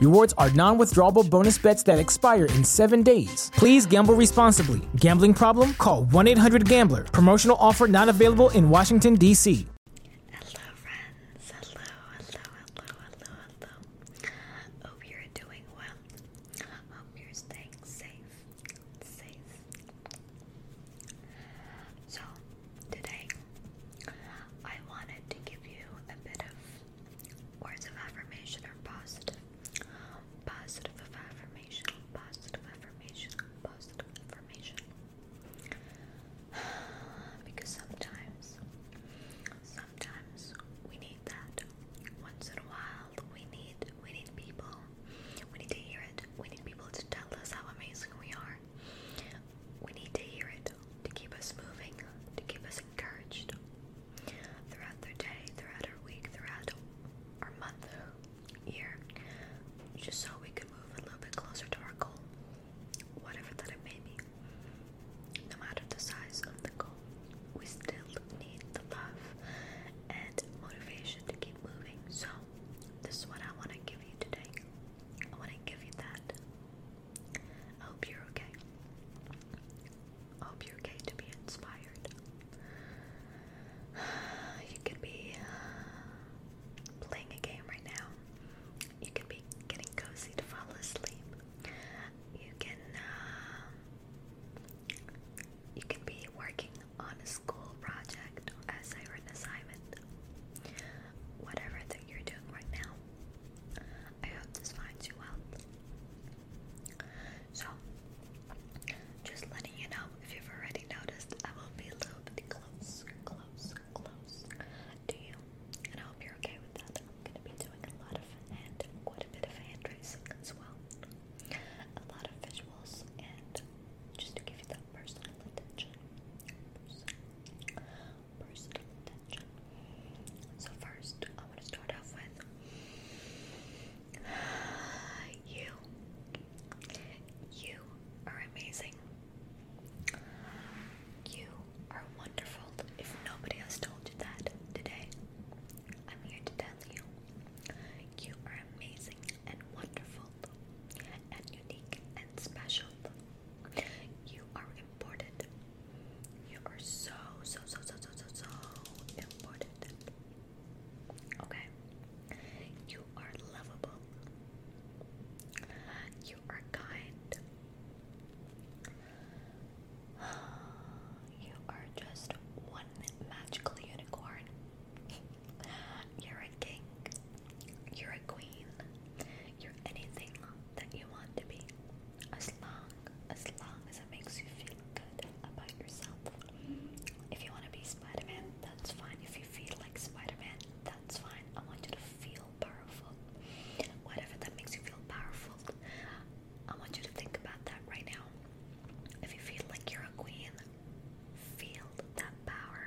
Rewards are non withdrawable bonus bets that expire in seven days. Please gamble responsibly. Gambling problem? Call 1 800 Gambler. Promotional offer not available in Washington, D.C. Hello, friends. Hello, hello, hello, hello, hello. Hope you're doing well. Hope you're staying safe. Safe. So, today I wanted to give you a bit of Words of affirmation are positive. Positive affirmation. Positive affirmation. Positive affirmation. because sometimes, sometimes we need that. Once in a while, we need we need people. We need to hear it. We need people to tell us how amazing we are. We need to hear it to keep us moving, to keep us encouraged throughout their day, throughout our week, throughout our month, year, just so we can move a little bit closer to our goal, whatever that it may be. No matter the size of the goal, we still need the love and motivation to keep moving. So, this is what I want to give you today. I want to give you that hope you're okay. hope you're okay to be inspired. You could be playing a game right now. You could be getting cozy to fall asleep. You can uh, you can be working on a school project, essay, or an assignment. Whatever that you're doing right now, I hope this finds you well. So, just letting you know if you've already noticed, I will be a little bit close, close, close to you, and I hope you're okay with that. I'm gonna be doing a lot of hand, quite a bit of hand tracing as well, a lot of visuals, and just to give you that personal attention personal attention. So, first, I want to start off with you. You are amazing. You are wonderful. If nobody has told you that today, I'm here to tell you. You are amazing and wonderful and unique and special you are important. You are so, so, so, so, so, so, so important. Okay? You are lovable. You are kind. You are just one magical unicorn. You're a king. You're a queen. You're anything that you want to be, as long as long as it makes you feel good about yourself. If you want to be Spider-Man, that's fine. If you feel like Spider-Man, that's fine. I want you to feel powerful. Whatever that makes you feel powerful, I want you to think about that right now. If you feel like you're a queen, feel that power.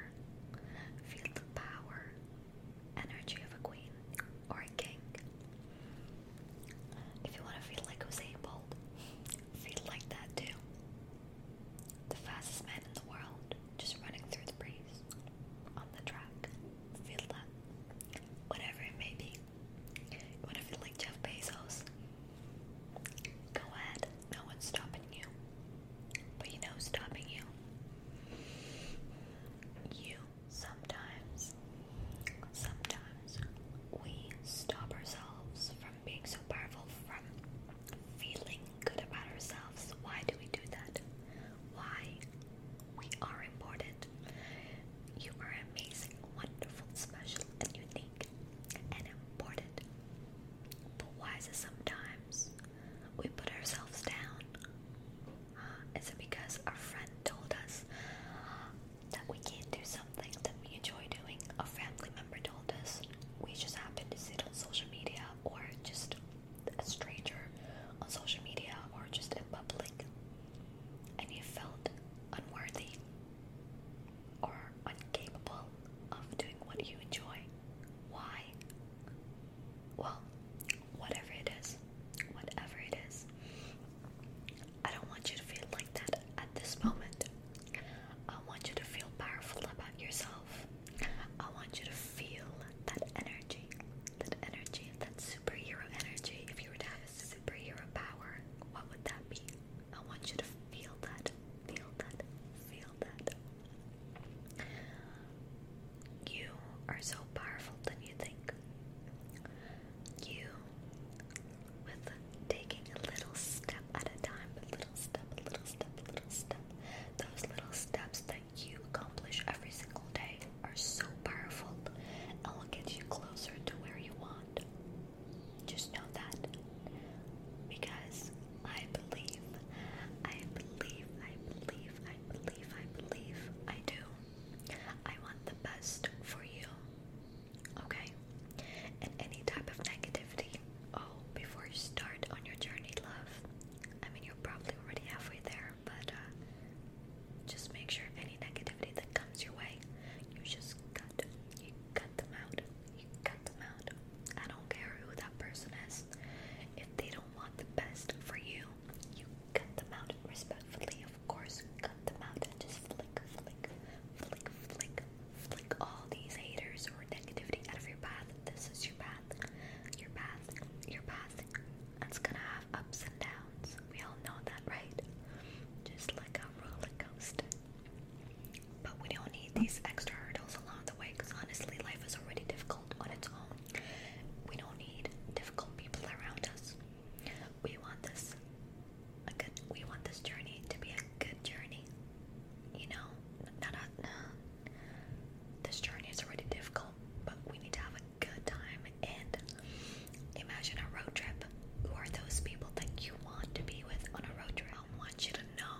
Feel the power energy of a queen or a king. If you want to feel like Usain Bolt, feel like that too. The fastest man in the world, just running through the breeze on the track. Feel that. Whatever it may be. want to feel like Jeff Bezos? Go ahead. No one's stopping you. But you stopping you. You Sometimes, sometimes we stop ourselves from being so powerful, from feeling good about ourselves. Why do we do that? Why? We are important. You are amazing, wonderful, special, and unique, and important. But why is it sometimes we put ourselves down? Is it because a friend told us that we can't do something that we enjoy doing? A family member told us. We just happen to sit on social media or just a stranger on social media or just in public and you felt unworthy or incapable of doing what you enjoy. Why? Well, whatever it is, whatever it is, I don't want you to feel like that at this moment. I want you to feel powerful about yourself. I want you to feel that energy, that energy, that superhero energy. If you were to have a superhero power, what would that be? I want you to feel that, feel that, feel that. You are so powerful than you think. You, with taking a little step at a time, a little step, a little step, a little step, those little steps that you accomplish every single day are so powerful and will get you closer to where you want. Just know that. Because I believe, I believe, I believe, I believe believe, I believe, I do. I want the best for you. Okay? And any type of negativity, oh, before you start on your journey, love, I mean, you're probably already halfway there, but uh, just make sure any negativity that comes your way, you just cut. You cut them out. You cut them out. I don't care who that person is. If they don't want the best for you, you cut them out respectfully, of course. Cut them out and just flick, flick, flick, flick, flick all these haters or negativity out of your path. This is your path, your path, your path. It's gonna have ups and downs. We all know that, right? Just like a roller coaster. But we don't need these extra hurdles along the way because honestly, life is already difficult on its own. We don't need difficult people around us. We want this a good we want this journey to be a good journey. You know, not this journey is already difficult, but we need to have a good time and imagine a road trip. Who are those people that you want to be with on a road trip? I want you to know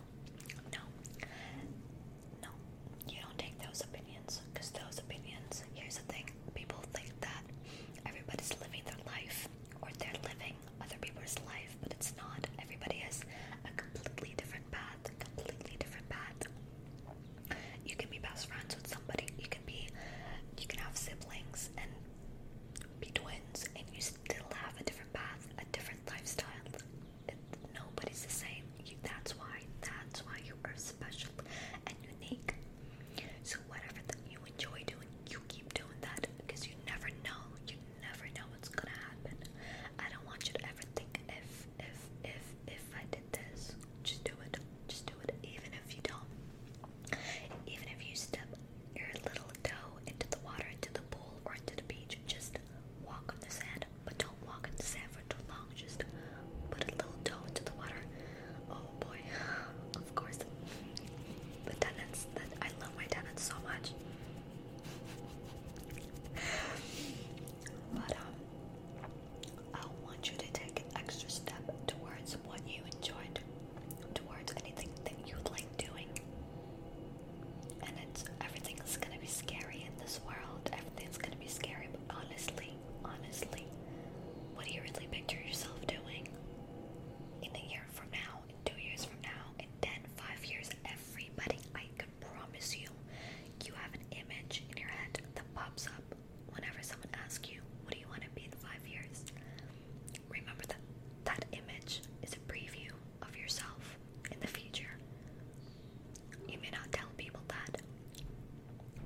no, no, you don't take those opinions because those opinions, here's the thing people think that everybody's living their life or they're living other people's life, but it's not. Everybody has a completely different path, a completely different path. You can be best friends with somebody, you can be, you can have siblings and be twins, and you still have a different path, a different lifestyle, it, nobody's the same. You, that's why. That's why you are special and unique. So whatever that you enjoy doing, you keep doing that because you never know. You never know what's gonna happen. I don't want you to ever think if if if if I did this, just do it. Just do it. Even if you don't. Even if you step your little toe into the water, into the pool, or into the beach, just walk on the sand, but don't walk on the sand for too long. Just put a little toe into the water. Oh boy, of course. The tenants I love my tenants so much. But um, I want you to take an extra step towards what you enjoyed, towards anything that you like doing and it's everything everything's gonna be scary in this world. Everything's gonna be scary, honestly, honestly, what do you really picture yourself doing in a year from now, in two years from now, in ten, five years? Everybody, I can promise you, you have an image in your head that pops up whenever someone asks you, "What do you want to be in five years?" Remember that that image is a preview of yourself in the future. You may not tell people that,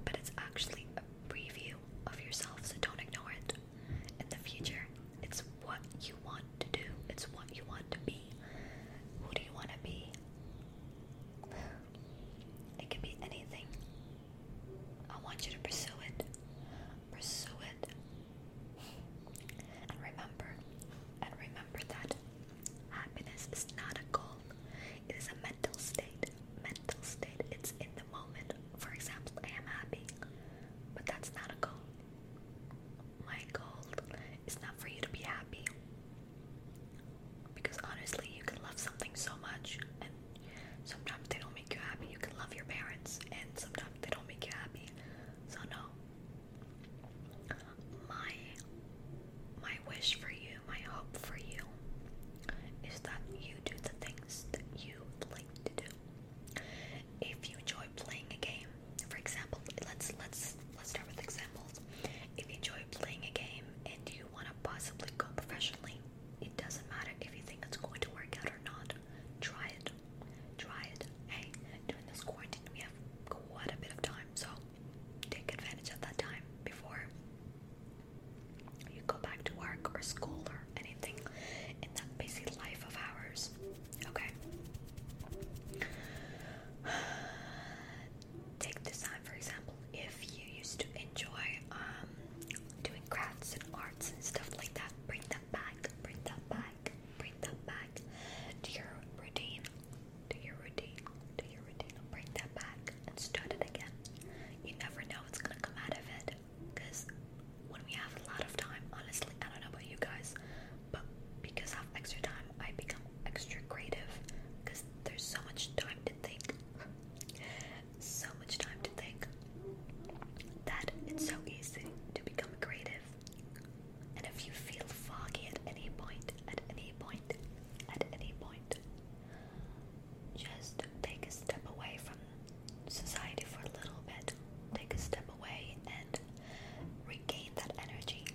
but it's actually a preview of yourself, so don't ignore it. In the future, it's what you want to do, it's what you want to be. Who do you want to be? It can be anything. I want you to pursue it. Pursue it. And remember, and remember that Happiness is not a goal. It is a mental state. Mental state. It's in the moment. For example, I am happy. But that's not a goal. My goal is not for you to be happy. Because honestly, you can love something so much and sometimes they don't make you happy. You can love your parents and sometimes they don't make you happy. So no, my my wish for you, my hope for you is that you do the things that you like to do. If you enjoy playing a game, for example, let's let's let's start with examples. If you enjoy playing a game and you want to possibly go professionally, it doesn't matter if you think it's going to work out or not. Try it. Try it. Hey, during this quarantine, we have quite a bit of time, so take advantage of that time before you go back to work or school or anything in that busy life of ours. Okay. Take this for example, if you used to enjoy um, doing crafts and arts and stuff like that, bring that back, bring that back back. Bring that back to your routine. To your routine. To your routine. Bring that back and start it again. You never know what's gonna come out of it. Because when we have a lot of time, honestly, I don't know about you guys, but because I have extra time, I become extra creative. Because there's so much time to think. so much time to think that it's so easy to become creative and if you feel foggy at any point, at any point, at any point, just take a step away from society for a little bit. Take a step away and regain that energy.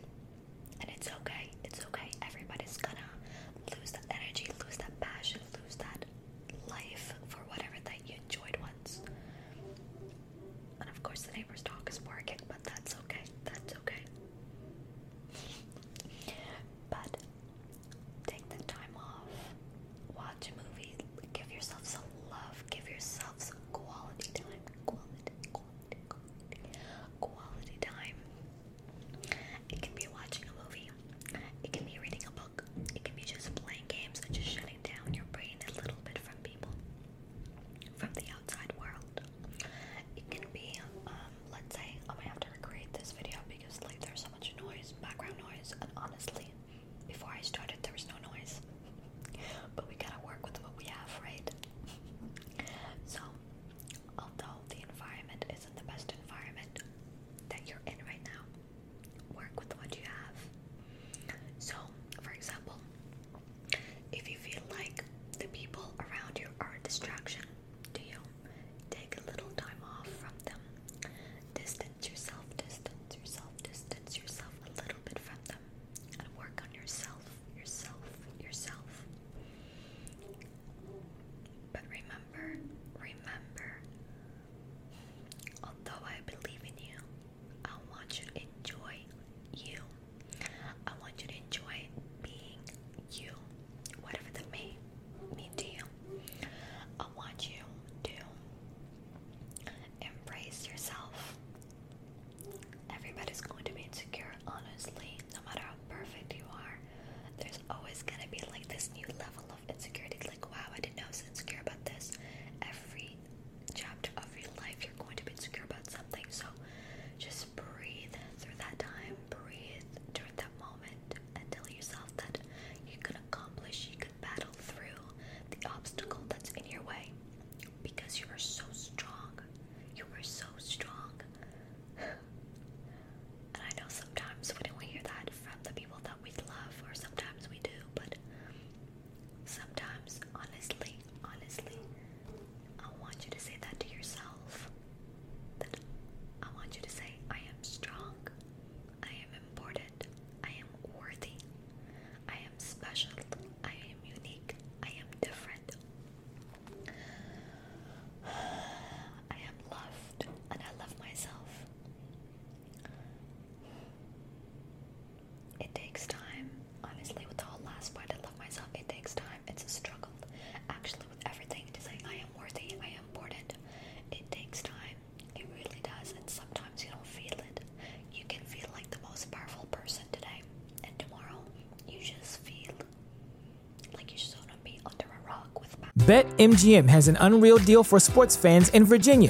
And it's okay, it's okay. Everybody's gonna lose that energy, lose that passion, lose that life for whatever that you enjoyed once. And of course, the neighbor's dog is barking, but that's okay. That's okay. but take the time off, watch a movie, give yourself some love, give yourself some quality time. Quality, time. It can be watching a movie, it can be reading a book, it can be just playing games and just shutting down your brain a little bit from people, from the outside world. It can be, um, let's say, I'm gonna have to recreate this video because like there's so much noise, background noise, and honestly, before I started there was no noise. But we gotta work with what we have, right? So, although the environment isn't the best environment that you're in right now, work with what you have. So, for example, if you feel like the people around you are a distraction do you, take a little time off from them. Distance yourself, distance yourself, distance yourself a little bit from them and work on yourself, yourself, yourself. But remember, remember, although I believe in you, I want you to enjoy you. I want you to enjoy being you, whatever that may mean to you. I want you to embrace yourself. Everybody's going to be insecure, honestly, no matter how perfect you are. There's always going to be like this new level of insecurity. Like, wow, I didn't know I was insecure about this. Every chapter of your life you're going to be insecure about something. So just breathe through that time, breathe during that moment, and tell yourself that you can accomplish, you can battle through the obstacle that's in your way because you are so strong. You are so strong. And I know sometimes we don't hear that from the people that we love, or sometimes we do, but Sometimes, honestly, honestly, I want you to say that to yourself. That I want you to say, I am strong, I am important, I am worthy, I am special, I am unique, I am different. I am loved and I love myself. It takes time. Honestly, with the whole last part, I love myself. It takes time. It's a struggle. Actually, with everything, to say I am worthy, I am important, it takes time. It really does. And sometimes you don't feel it. You can feel like the most powerful person today, and tomorrow you just feel like you just want to be under a rock with. bet MGM has an unreal deal for sports fans in Virginia.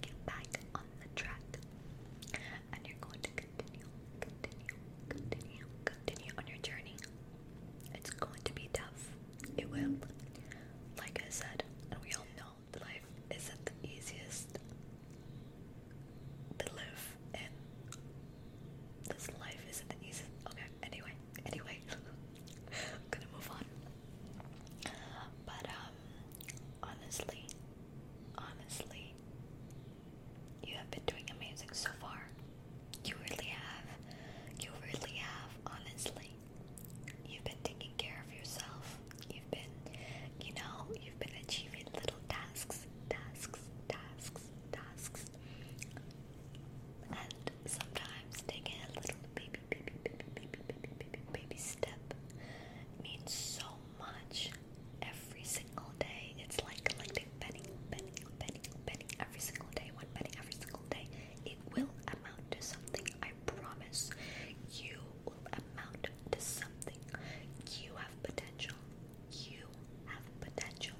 get back on the track and you're going to continue, continue, continue, continue on your journey. It's going to be tough. It will. Like I said, and we all know that life isn't the easiest to live in. This life isn't the easiest. Okay, anyway, anyway, I'm gonna move on. But um, honestly, honestly, you have been doing amazing so far. You really have. You really have, honestly. You've been taking care of yourself. You've been, you know, you've been achieving little tasks, tasks, tasks, tasks. And sometimes taking a little baby, baby, baby, baby, baby, baby, baby step means so much every single day. It's like collecting penny, penny, penny, penny every single day, one penny every single day. It will amount to something, I promise. You will amount to something. You have potential. You have potential.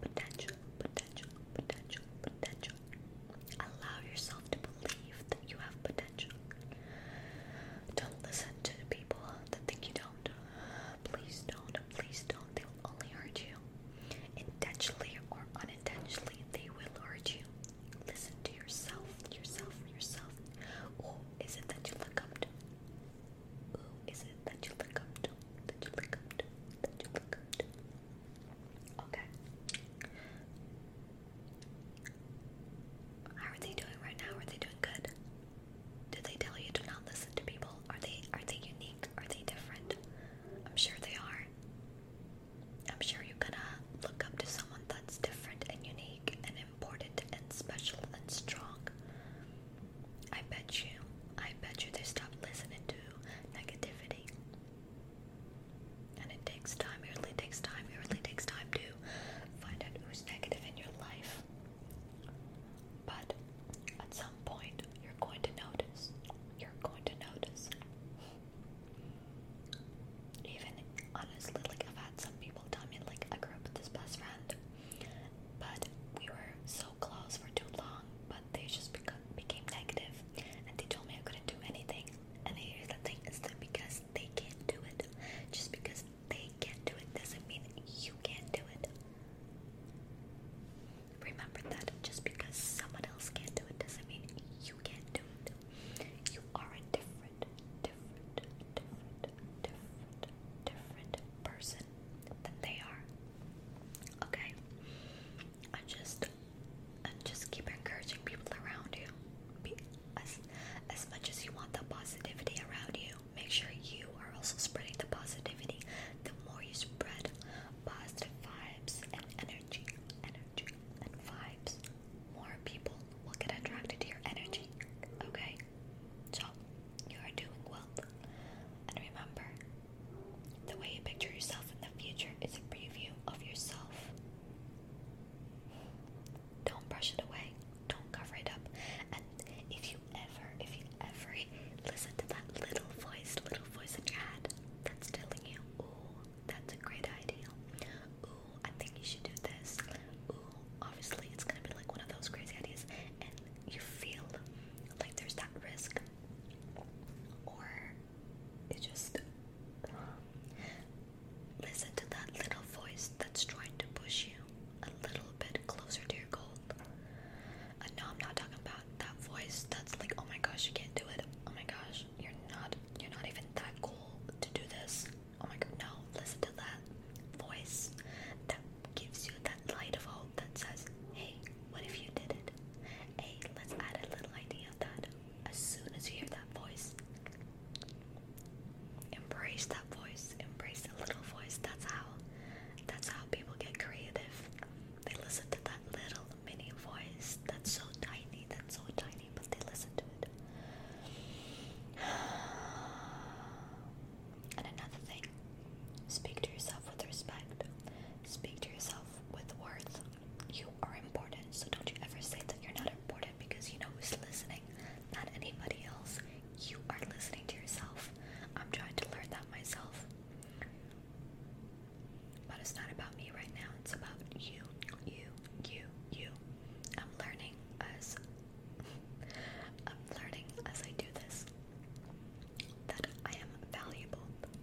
Potential, potential, potential, potential. Allow yourself to believe that you have potential. Don't listen to the people that think you don't. Please don't. Please don't. They will only hurt you. Intentionally or unintentionally, they will hurt you. Listen to yourself, yourself, yourself. Who is it that you look up to? Who is it that you look up to? That you look up to? That you look up to? Okay. How are they doing right now? Are they doing good? Did they tell you to not listen to people? Are they are they unique? Are they different? I'm sure they are. I'm sure you're gonna look up to someone that's different and unique and important and special and strong. I bet you, I bet you they stopped listening to negativity. And it takes time, it really takes time, it really takes time to find out who's negative in your life. But at some point, you're going to notice. You're going to notice. Even honestly, like I've had some people tell me, like I grew up with this best friend, but we were so close for too long, but they just became negative, and they told me I couldn't do anything. And here's the thing is because they can't do it, just because they can't do it doesn't mean you can't do it. Remember that just because someone else can't do it doesn't mean you can't do it. You are a different, different, different, different, different person than they are. Okay? I just and just keep encouraging people around you. as, as much as you want the positivity around you, make sure you are also spreading the positivity. The more you spread positive vibes and energy, energy and vibes, more people will get attracted to your energy. Okay? So, you are doing well. And remember, the way you picture yourself in the future is a preview of yourself. Don't brush it away. Don't cover it up. And if you ever, if you ever listen to that little voice, little voice in your head that's telling you, ooh, that's a great idea. Ooh, I think you should do this. Ooh, obviously it's gonna be like one of those crazy ideas and you feel like there's that risk or it just listen to that little voice that's trying to push you a little bit closer to your goal. Uh, I'm not talking about that voice that's like, oh my gosh, you can't do it. Oh my gosh, you're not, you're not even that cool to do this. Oh my god, no, listen to that voice that gives you that light of hope that says, hey, what if you did it? Hey, let's add a little idea of that as soon as you hear that voice. Embrace that voice. Embrace the little voice. That's how that's how people get creative. They listen to that little mini voice that's so tiny, that's so tiny, but they listen to it. And another thing, speak to yourself with respect. Speak to yourself with worth you are important, so don't you ever say that you're not important because you know who's listening, not anybody else. You are listening to yourself. I'm trying to learn that myself. But it's not about me right now, it's about you, you, you, you. I'm learning as I'm learning as I do this that I am valuable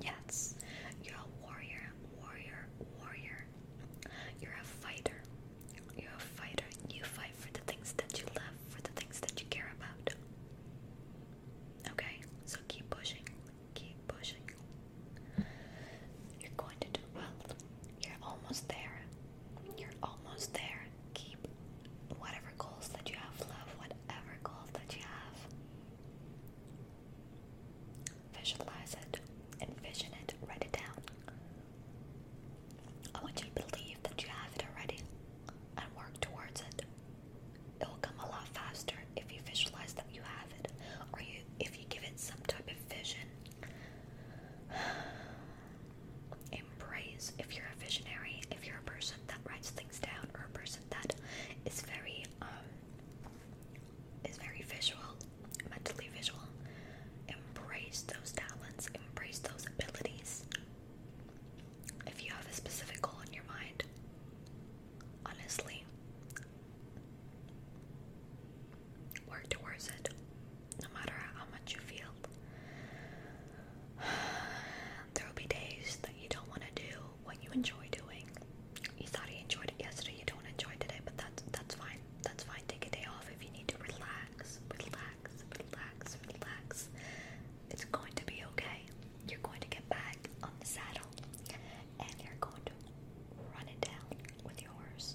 Yes, you're a warrior, warrior, warrior. You're a fighter. You're a fighter. You fight for the things that you love, for the things that you care about. Okay, so keep pushing, keep pushing. You're going to do well. You're almost there. You're almost there. Keep whatever goals that you have, love whatever goals that you have. Visualize it, and envision it, write it down. I want you to believe that you have it already and work towards it. It will come a lot faster if you visualize that you have it or you if you give it some type of vision. Embrace if you're a visionary, if you're a person that writes things down or a person that is very um is very visual, mentally visual. Embrace those talents, embrace those abilities. If you have a specific goal in your mind, honestly, work towards it no matter how much you feel there will be days that you don't want to do what you enjoy doing. You thought you enjoyed it yesterday, you don't enjoy it today, but that's that's fine. That's fine. Take a day off if you need to relax, relax, relax, relax. It's going to be okay. You're going to get back on the saddle and you're going to run it down with yours, horse.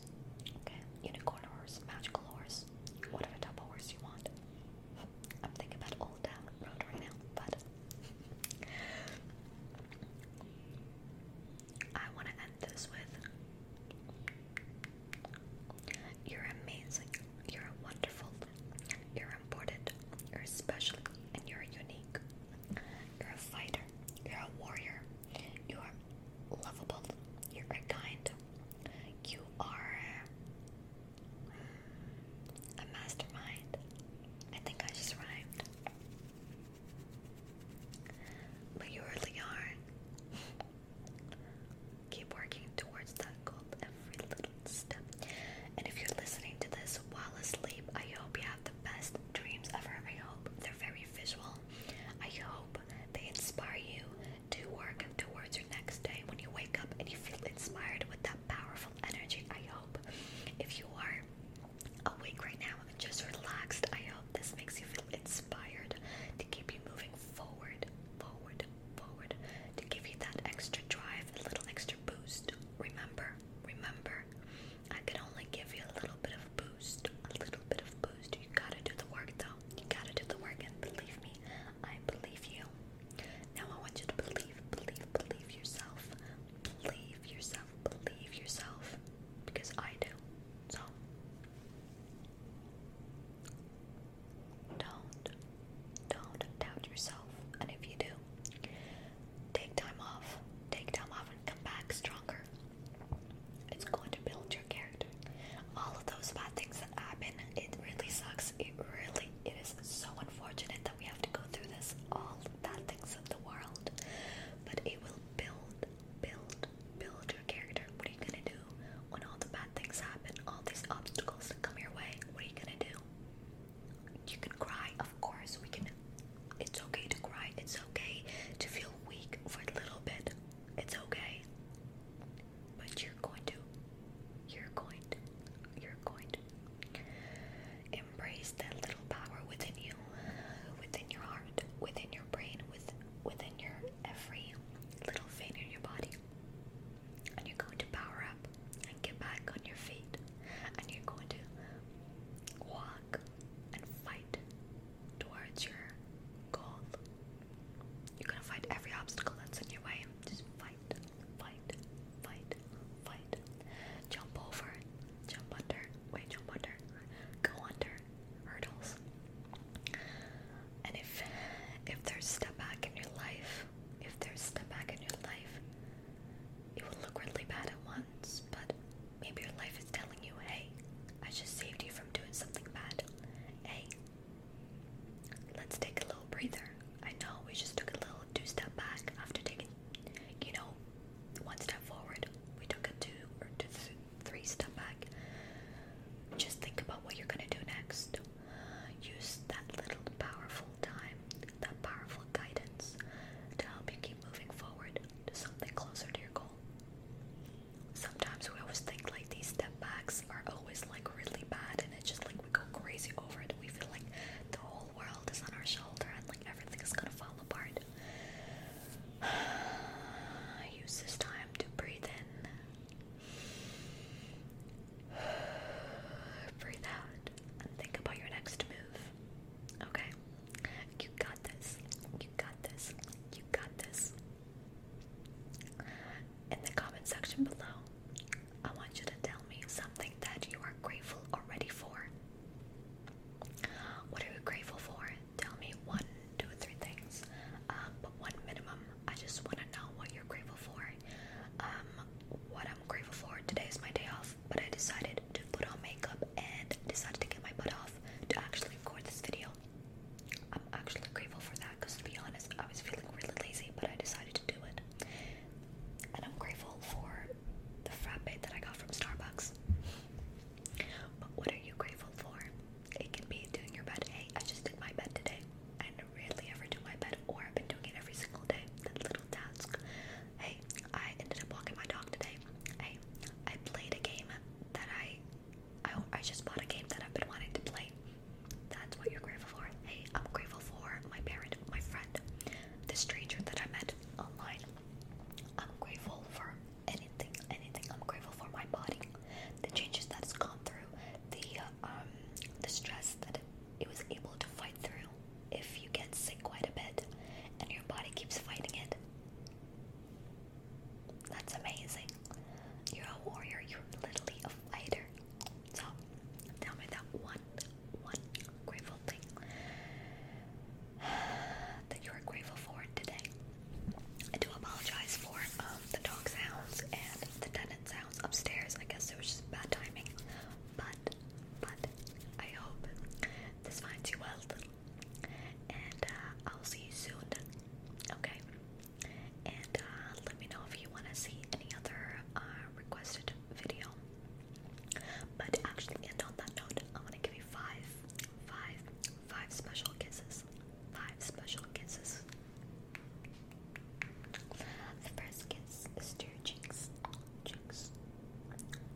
Okay? Unicorn horse, magical horse, whatever type of horse you want. I'm thinking about all you're amazing, you're wonderful, you're important, you're special, and you're unique. You're a fighter, you're a warrior, you are lovable, you're kind, you are a mastermind. I think I just rhymed. But you really are. Keep working towards that goal every little step. And if you're listening to this while asleep, I hope you have the best dreams ever. I hope they're very visual. I hope they inspire you to work towards your next day when you wake up and you feel inspired with that powerful energy. I hope if you are awake right now and just relaxed, I hope this makes you feel inspired to keep you moving forward, forward, forward, to give you that extra drive, a little extra boost. Remember, remember, I can only give you a little bit of boost, a little bit of boost. You gotta do the work though. You gotta do the work, and believe me, I believe you. Now I want you to believe, believe, believe yourself. Believe yourself, believe yourself. Because I do. So don't, don't doubt yourself. And if you do, take time off. Take time off and come back stronger. It's going to build your character. All of those bad things that happen, it really sucks. It really it is so unfortunate that we have to go through this all bad things of the world, but it will build, build, build your character. What are you gonna do when all the bad things happen? All these obstacles that come your way. What are you gonna do? You can cry, of course. We can. It's okay to cry. It's okay to feel weak for a little bit. It's okay. But you're going to. You're going to. You're going to. Embrace that little power within you, within your heart, within your brain, with, within your every little vein in your body. And you're going to power up and get back on your feet. And you're going to walk and fight towards your goal. You're going to fight every obstacle that's in your way. Just fight, fight, fight, fight. Jump over, jump under, wait, jump under, go under, hurdles. And if if there's step back in your life, if there's step back in your life, it will look really bad at once, but maybe your life is telling you, hey, I just saved you from doing something bad. Hey, let's take a little breather. I know we just took a little two step back after taking, you know, one step forward. We took a two or two, three step back. Just think about what you're gonna do next. Use that little powerful time, that powerful guidance to help you keep moving forward to something closer to your goal. Sometimes we always think like these step backs are always like really bad and it just like we go crazy over it. We feel like the whole world is on our shoulder and like everything is gonna fall apart. Use this time to breathe in, breathe out, and think about your next move. Okay, you got this. You got this. You got this in the comment section below. I want you to tell me something that you are grateful already for. What are you grateful for? Tell me one, two, three things, um, but one minimum. I just want to know what you're grateful for. Um, what I'm grateful for today is my day off, but I decided to put on makeup and decided to get my butt off to actually record this video. I'm actually grateful for that because to be honest, I was feeling really lazy, but I decided to do it and I'm grateful for the frappe that I got from Starbucks. But what are you grateful for? It can be doing your bed. Hey, I just did my bed today. I rarely ever do my bed, or I've been doing it every single day. That little task. Hey, I ended up walking my dog today. Hey, I played a game that I, I, I just bought a game that I've been wanting to play. That's what you're grateful for. Hey, I'm grateful for my parent, my friend, the stranger that I met online. I'm grateful for anything, anything. I'm grateful for my body, the changes that's gone through, the uh, um, the stress that it was able to fight through. If you get sick quite a bit, and your body keeps fighting it, that's amazing. You're a warrior. You're literally a fighter. So tell me that one, one grateful thing that you are grateful for today. I do apologize for um, the dog sounds and the tenant sounds upstairs. I guess it was just bad timing, but but I hope this finds you well, and uh, I'll see you soon. Okay and uh, let me know if you want to see any other uh, requested video. But actually, end on that note, I'm gonna give you five, five, five special kisses, five special kisses. The first kiss is to your cheeks, cheeks,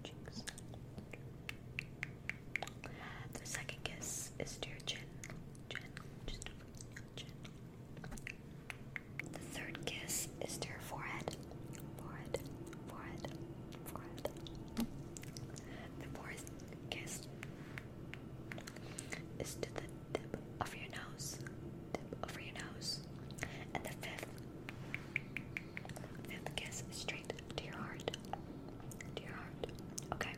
cheeks. The second kiss is to your chin, chin, chin. The third kiss is to your forehead. Forehead, forehead, forehead. The fourth kiss is to the tip of your nose. Tip over your nose. And the fifth fifth kiss is straight to your heart. To your heart. Okay.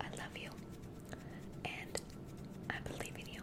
I love you. And I believe in you.